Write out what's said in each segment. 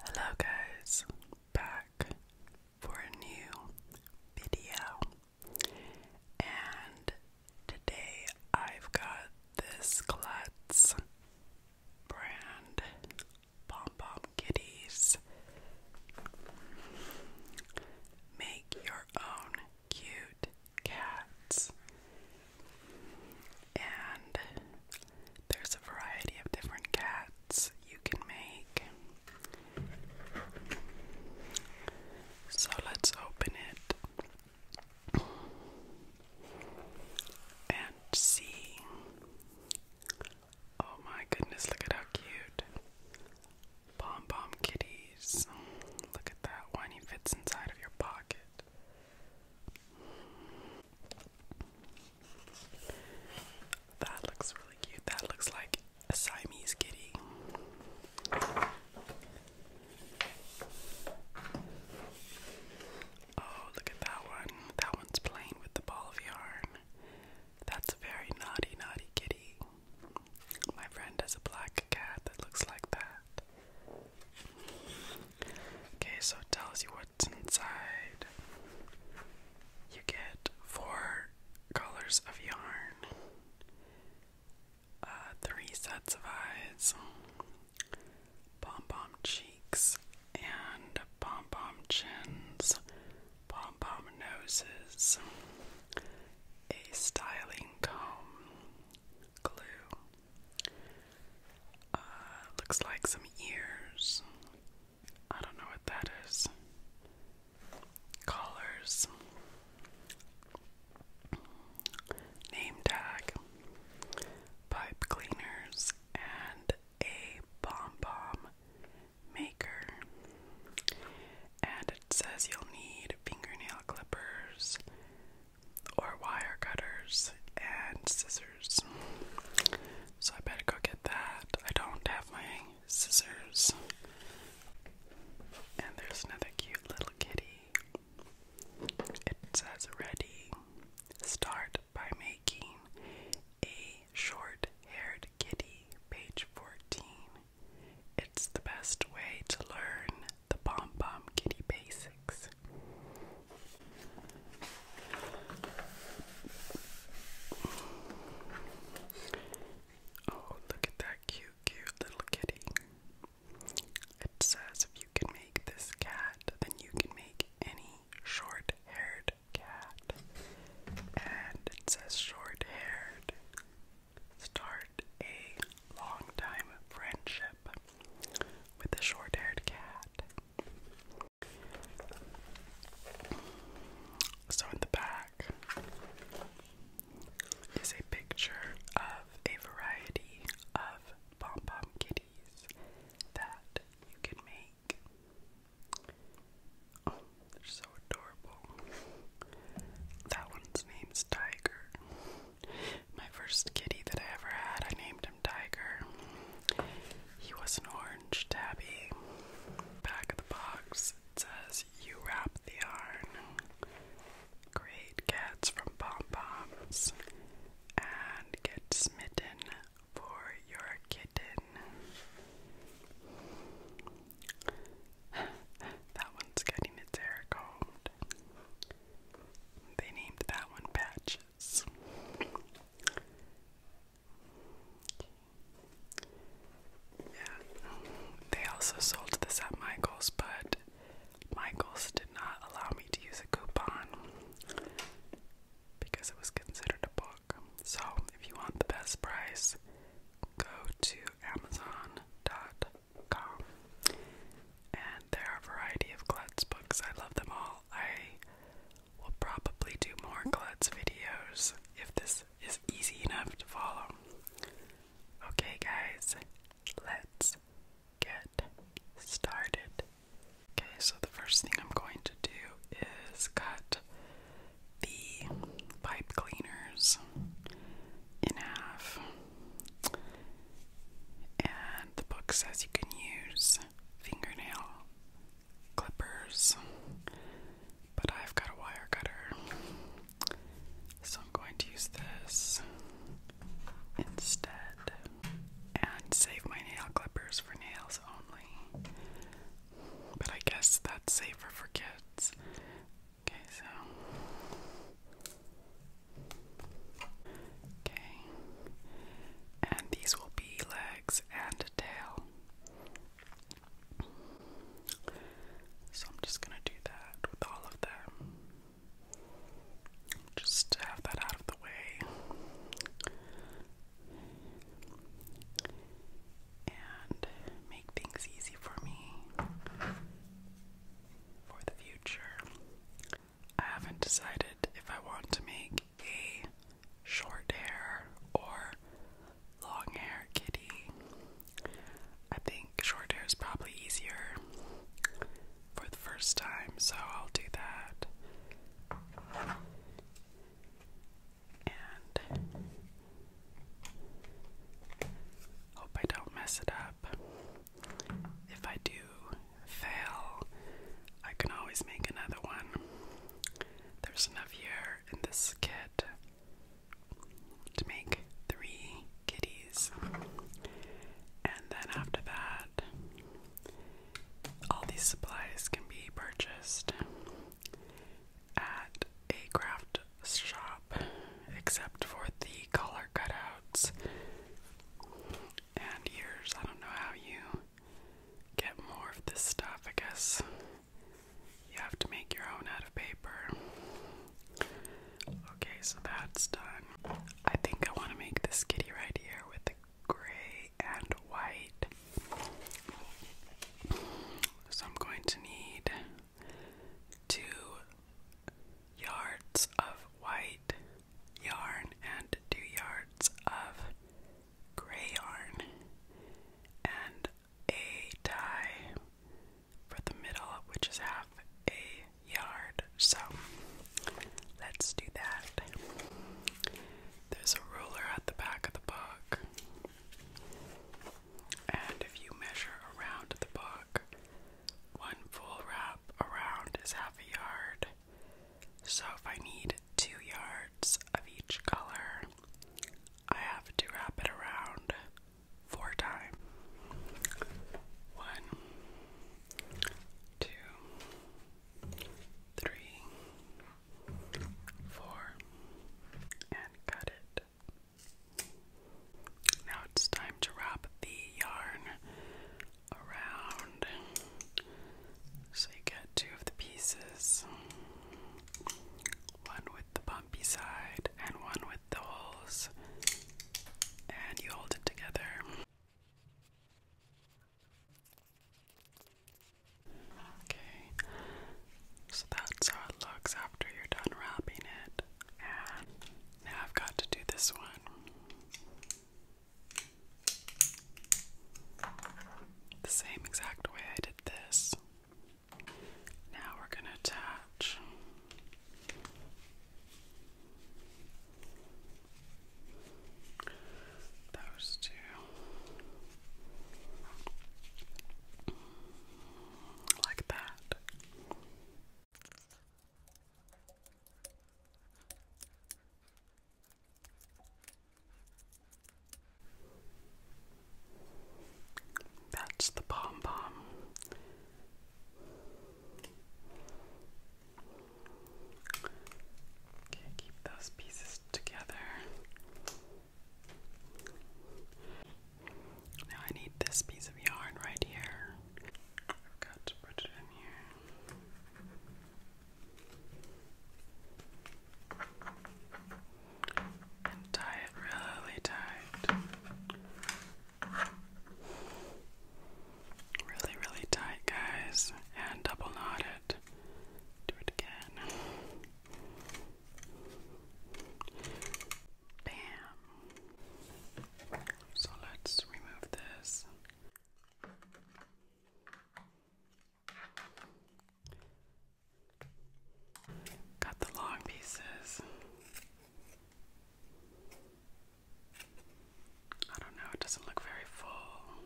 Hello guys, back for a new video. And today I've got this Klutz brand Pom Pom Kitties. Make your own cute cats. And there's a variety of different cats you can make. So let's open it and see. Oh my goodness, look at how cute. Pom pom kitties. Look at that one, he fits inside of your pocket. That looks really cute. That looks like a Siamese kitty. Oh, look at that one. That one's playing with the ball of yarn. That's a very naughty, naughty kitty. My friend has a black cat that looks like that. Okay, so it tells you what's inside. You get four colors of yarn, uh, three sets of eyes, pom pom cheeks, and pom pom chins, pom pom noses, a styling comb, glue, uh, looks like some ears. I don't know what that is. Collars. Name tag. Pipe cleaners and a bomb bomb maker. And it says you'll need fingernail clippers or wire cutters and scissors. So I better go get that. I don't have my scissors. And there's another cute little kitty. It says ready. Start by making a short haired kitty, page 14. It's the best way to learn the pom pom kitty basics. Oh, look at that cute, cute little kitty. It says if you can make this cat, then you can make any short haired cat. And it says short haired. Start a long time friendship with a short haired cat. So, in the back is a picture of a variety of pom pom kitties that you can make. Oh, they're so adorable. That one's name's Tiger. My first kitty that I ever had, I named him. Tiger. He was an orange tabby. Back of the box, says, You wrap the yarn. Great cats from pom poms. And get smitten for your kitten. that one's getting its They named that one Patch yeah, they also sold this at Michael's, but Michael's did not allow me to use a coupon because it was considered a book. So, if you want the best price, go to Amazon.com and there are a variety of Klutz books. I love them all. I will probably do more Klutz videos if this is easy enough to follow. Okay, guys, let's get started. Okay, so the first thing I'm going to do is cut the pipe cleaners in half. And the book says you can use fingernail clippers, but I've got a wire cutter, so I'm going to use this instead and save my nail clippers for nails only. But I guess that's safer for kids. Okay, so Okay. And these will be legs and tail. So I'm just going to do that with all of them. Just to have that out of the way. And make things easy for me for the future. I haven't decided if I want to make a short hair or long hair kitty. I think short hair is probably easier for the first time, so I'll do that. And hope I don't mess it up. If I do fail, I can always make another one. There's enough here in this kit to make three kitties. And then after that, all these supplies can be purchased at a craft shop, except for the collar cutouts, and years. I don't know how you get more of this stuff. I guess you have to make your own out of paper. Okay, so that's done. I think I want to make this kitty right here with the gray and white. So I'm going to need two yards of white yarn and 2 yards of gray yarn and a tie for the middle which is half a yard. So let's do that. There's a ruler at the back of the book. And if you measure around the book, one full round around is half a yard. So if I need two yards of each color, I have to wrap it around four times. One, two, three, four, and cut it. Now it's time to wrap the yarn around so you get two of the pieces one with the bumpy side and one with the holes, and you hold it together. Okay, so that's how it looks after you're done wrapping it. Now I've got to do this one. The same exact way I did this. Now we're going to attach. Those two. Like that. That's the pom pom. Okay, keep those pieces together. Now I need this piece of yarn right here. I forgot to put it in here. And tie it really tight. Really, really tight, guys. And double knot it. Do it again. Bam. So let's remove this. Cut the long pieces. I don't know, it doesn't look very full.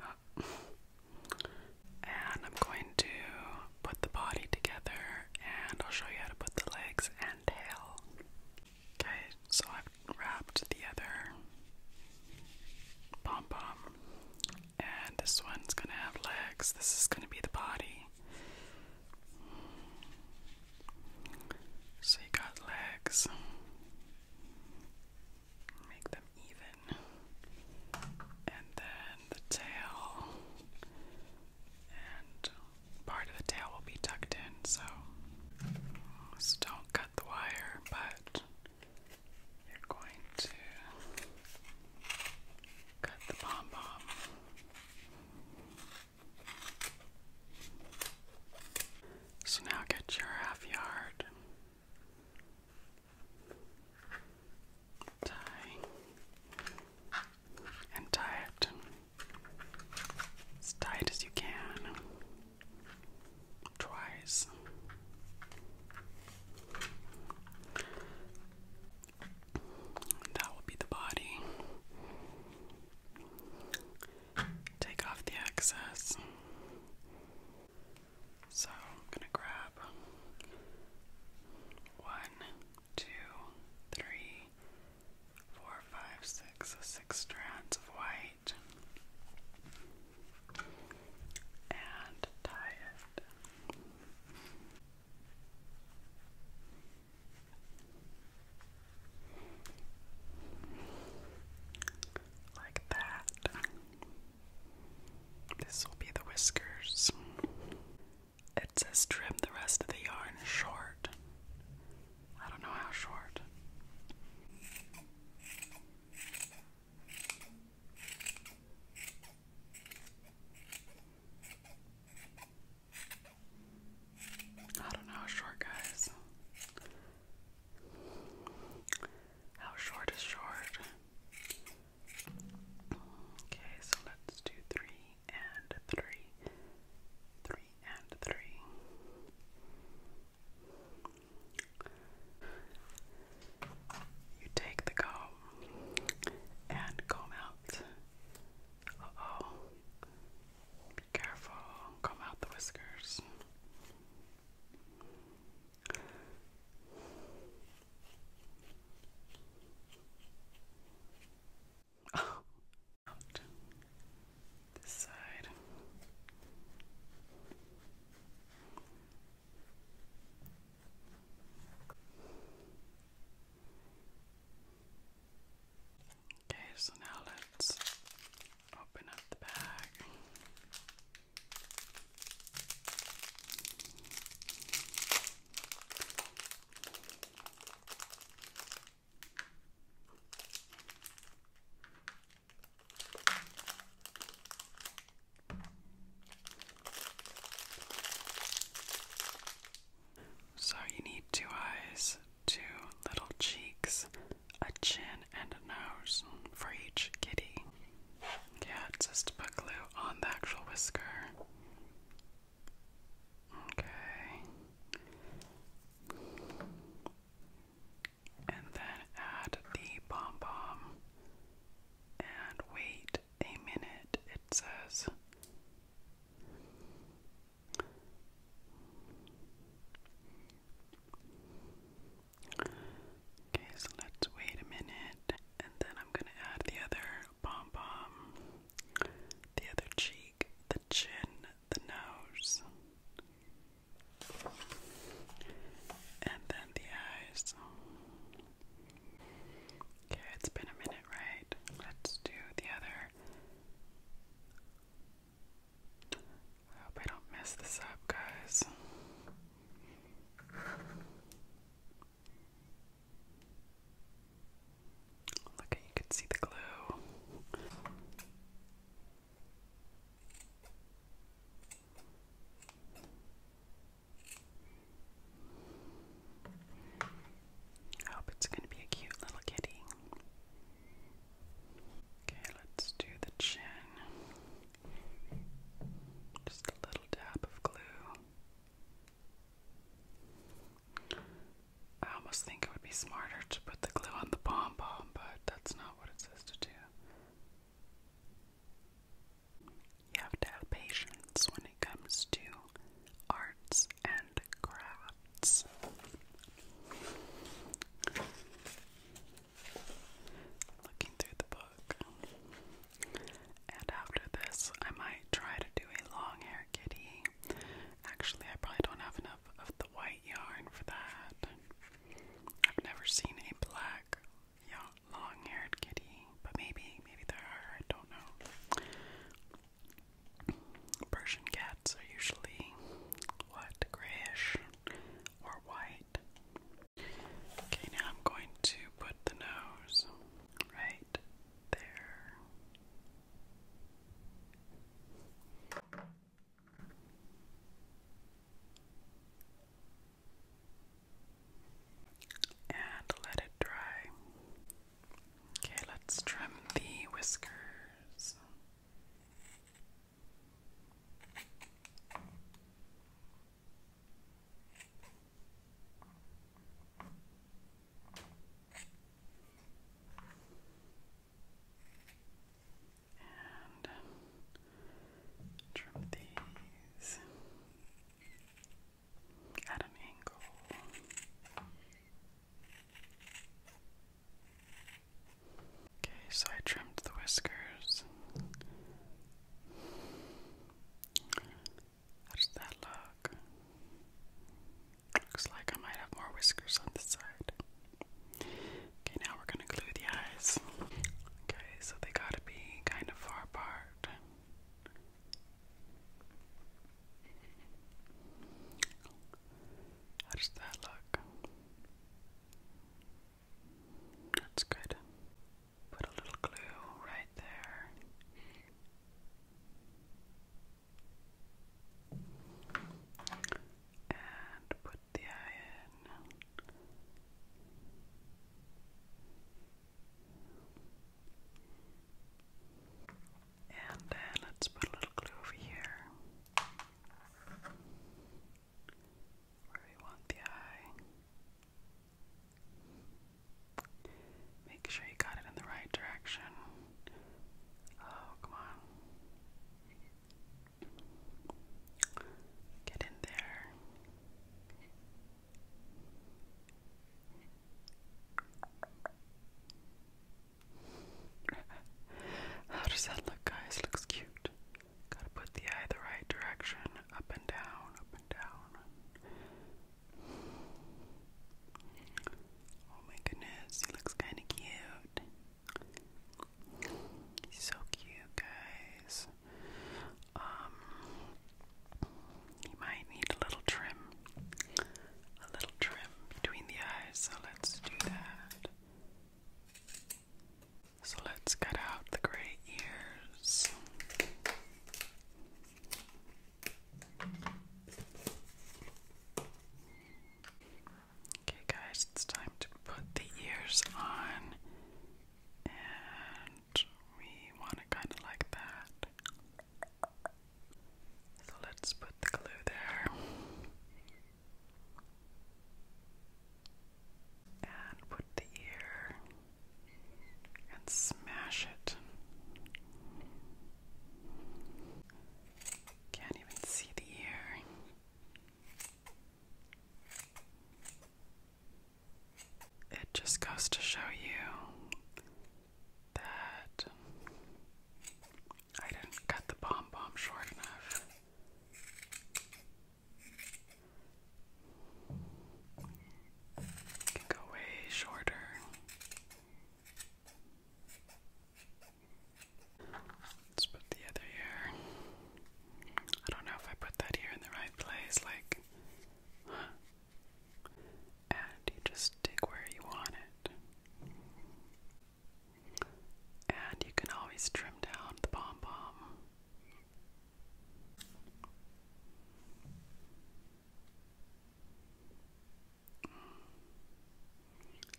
Uh, and I'm going to put the body together and I'll show you how to put the legs and tail. Okay, so I've wrapped the other pom pom and this one's gonna have legs. This is gonna be the body. So you got legs. Make them even. And then the tail and uh, part of the tail will be tucked in, so, don't cut the wire, but you're going to cut the pom pom. So now get your half yard tie, and tie it as tight as you can twice. That will be the body. Take off the excess. So I'm going to grab one, two, three, four, five, six, six strands of white, and tie it. Like that. This will be the whiskers. It says trim the rest of the yarn short. I don't know how short. I don't know how short, guys. How short is short? Okay, so let's do three and three, three and three. You take the comb and comb out. Uh oh. Be careful, comb out the whiskers. Oh, out this side. Okay, so now let's open up the bag. So, you need two eyes, two little cheeks, a chin, and a nose for each kitty. Yeah, just put glue on the actual whisker. Okay. And then add the pom pom and wait a minute, it says. Okay, so let's wait a minute. And then I'm gonna add the other pom pom, the other cheek, the chin, the nose, and then the eyes. Okay, it's been a minute, right? Let's do the other. I hope I don't mess this up, guys. Look, you can see the glue. hope it's going to be a cute little kitty. Okay, let's do the chin. Just a little dab of glue. I almost think it would be smarter to put the glue on the pom pom, but that's not what it says to do. You have to have patience when it comes to arts and crafts looking through the book. And after this, I might try to do a long hair kitty. Actually, I probably don't have enough of the white yarn for that. I've never seen a black long haired kitty, but maybe, maybe there are, I don't know. Persian cats are usually what, grayish? or white. Okay, now I'm going to put the nose right there. And let it dry. Okay, let's trim the whiskers. And trim these at an angle. Okay, so I trimmed the whiskers. How does that look? Looks like I might have more whiskers on this side. Okay, now we're gonna glue the eyes. Okay, so they gotta be kind of far apart. How does that look? That's good. Put a little glue right there. And put the eye in. And then let's put a little glue over here where we want the eye. Make sure you got it in the right direction. Oh, come on. Get in there. How does that look, guys? Looks cute. Gotta put the eye the right direction, up and down, up and down. Oh my goodness, he looks kinda cute. He's so cute, guys. Um, he might need a little trim, a little trim between the eyes, so let's do that. So let's cut out the gray ears. Okay, guys, it's time to put the ears on, and we want it kind of like that. So let's put the glue there. And put the ear and smash it. Can't even see the ear. It just goes to show you that I didn't cut the bomb bomb short enough. Can go way shorter. Let's put the other here. I don't know if I put that ear in the right place, like And you just stick where you want it. And you can always trim down the pom pom.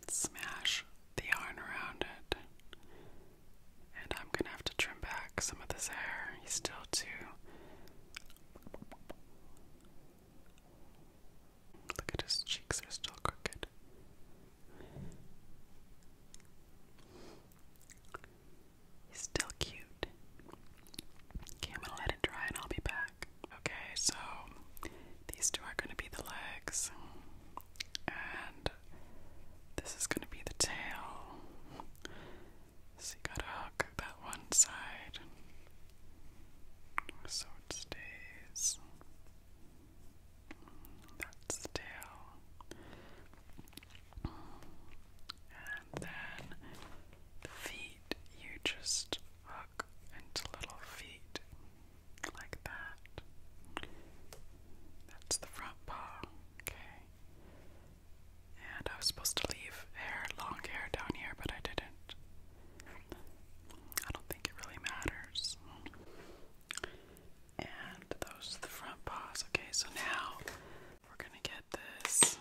Smash the yarn around it. And I'm gonna have to trim back some of this hair. He's still too. Look at his cheeks are still crooked. He's still cute. Okay, I'm gonna let it dry and I'll be back. Okay, so these two are gonna be the legs, and this is gonna be the tail. So you gotta hook that one side so it stays. That's two. And then feet, you just hook into little feet like that. That's the front paw. Okay. And I was supposed to leave hair, long hair down here, but I didn't. I don't think it really matters. And those are the front paws. Okay, so now we're gonna get this.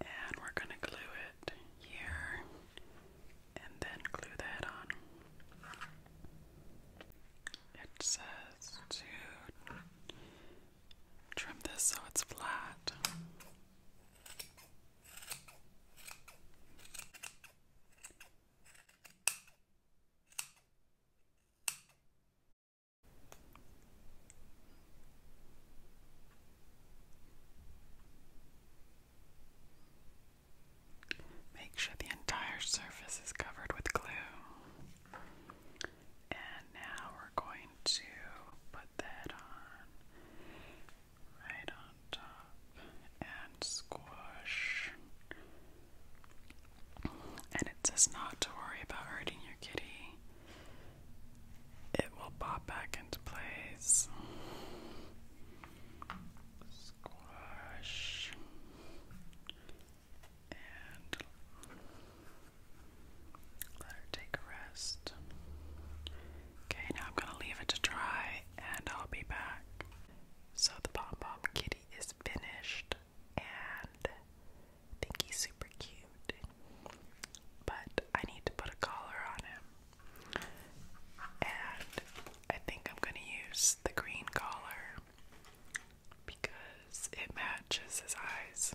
And we're gonna glue it here and then glue that on. It says to trim this so it's flat. Make sure the entire surface is covered with glue. And now we're going to put that on right on top and squash. And it not to worry about hurting your kitty. It will pop back into place. Squash and let her take a rest. Okay, now I'm gonna leave it to dry and I'll be back. So the pom pom kitty is finished and I think he's super cute. But I need to put a collar on him. And I think I'm gonna use the green collar because it matches his eyes.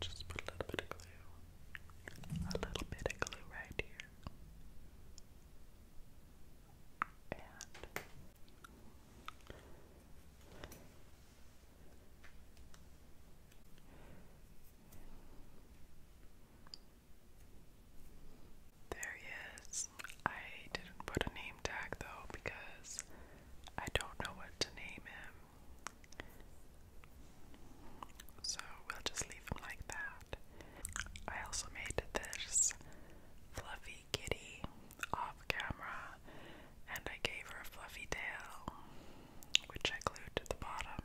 Just put a little bit of glue, a little bit of glue right here, and there he is. I didn't put a name tag though because I don't know what to name him. So we'll just leave him like that. I also made this fluffy kitty off camera and I gave her a fluffy tail, which I glued to the bottom.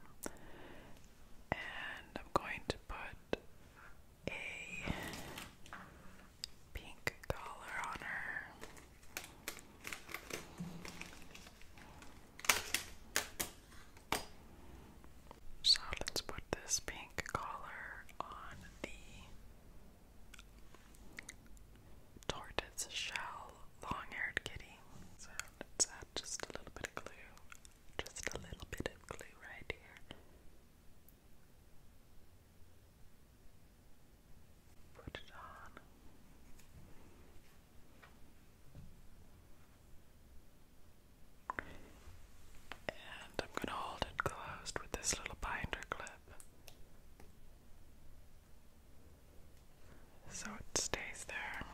And I'm going to put a pink collar on her. So let's put this pink collar on the tortoise shell long haired kitty. So let's add just a little bit of glue just a little bit of glue right here. Put it on. And I'm going to hold it closed with this little binder clip so it stays there.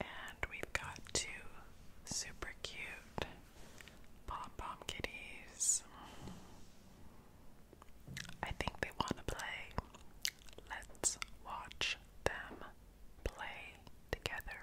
And we've got two super cute pom pom kitties. I think they want to play. Let's watch them play together.